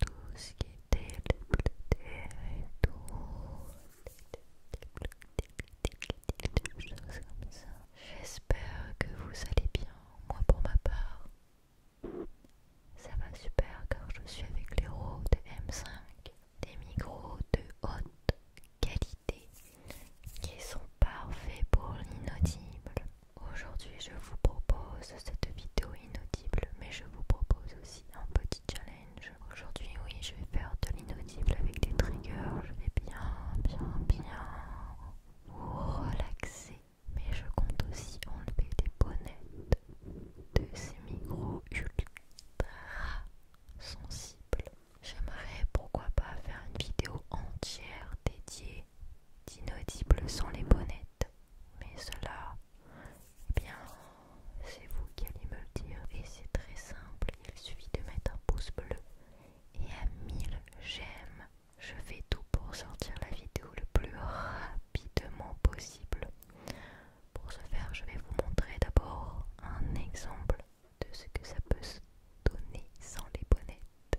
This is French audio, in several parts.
tout ce qui était les choses comme ça. J'espère que vous allez bien. Moi, pour ma part, ça va super car je suis avec les roues M5, des micros de haute qualité qui sont parfaits pour l'inaudible. Aujourd'hui, je vous propose cette vidéo inaudible, mais je vous propose aussi un petit challenge. Aujourd'hui, oui, je vais faire de l'inaudible avec des triggers. Je vais bien, bien, bien vous relaxer, mais je compte aussi enlever des bonnets de ces micros ultra sensibles. J'aimerais pourquoi pas faire une vidéo entière dédiée d'inaudibles sans les bonnettes. Mais cela, eh bien, c'est vous qui allez me le dire. Et c'est très simple, il suffit de mettre un pouce bleu. Et à 1000 j'aime, je fais tout pour sortir la vidéo le plus rapidement possible. Pour ce faire, je vais vous montrer d'abord un exemple de ce que ça peut se donner sans les bonnettes.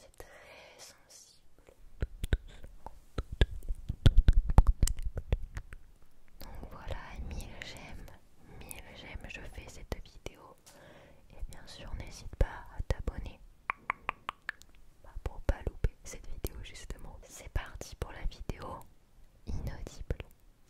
c'est très sensible. Donc voilà, mille j'aime, Mille j'aime, je fais cette vidéo. Et bien sûr, n'hésite pas à t'abonner bah, pour pas louper cette vidéo justement. C'est parti pour la vidéo inaudible.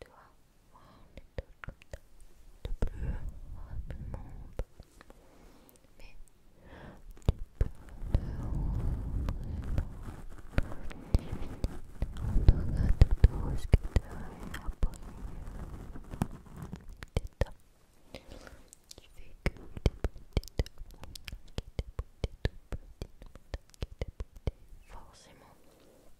tu vois, les comme ça, de plus rapidement. Mais tu peux te rendre tout ce qui tu as top. Tu fais que tout petit forcément.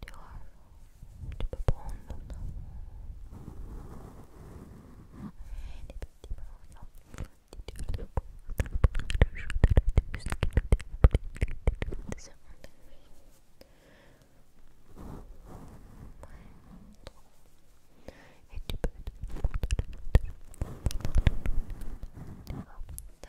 Tu vois, tu peux prendre des petits morceaux si tu le de la dégustation. et tu peux te le de te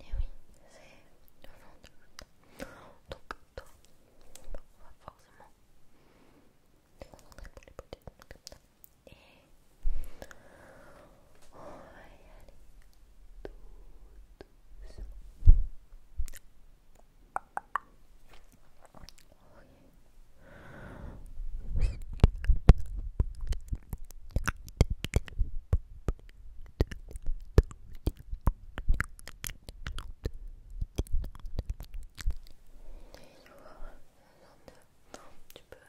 Et eh oui, c'est le ventre. Donc, toi, on va forcément te concentrer pour les beautés, comme ça. Et on va y aller tout doucement. Okay tu peux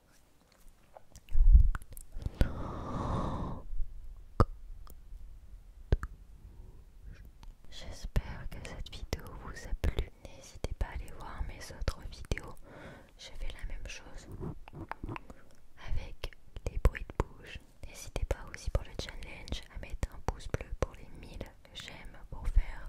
J'espère que cette vidéo vous a plu. N'hésitez pas à aller voir mes autres vidéos. J'ai fait la même chose avec des bruits de bouche. N'hésitez pas aussi pour le challenge à mettre un pouce bleu pour les 1000 j'aime pour faire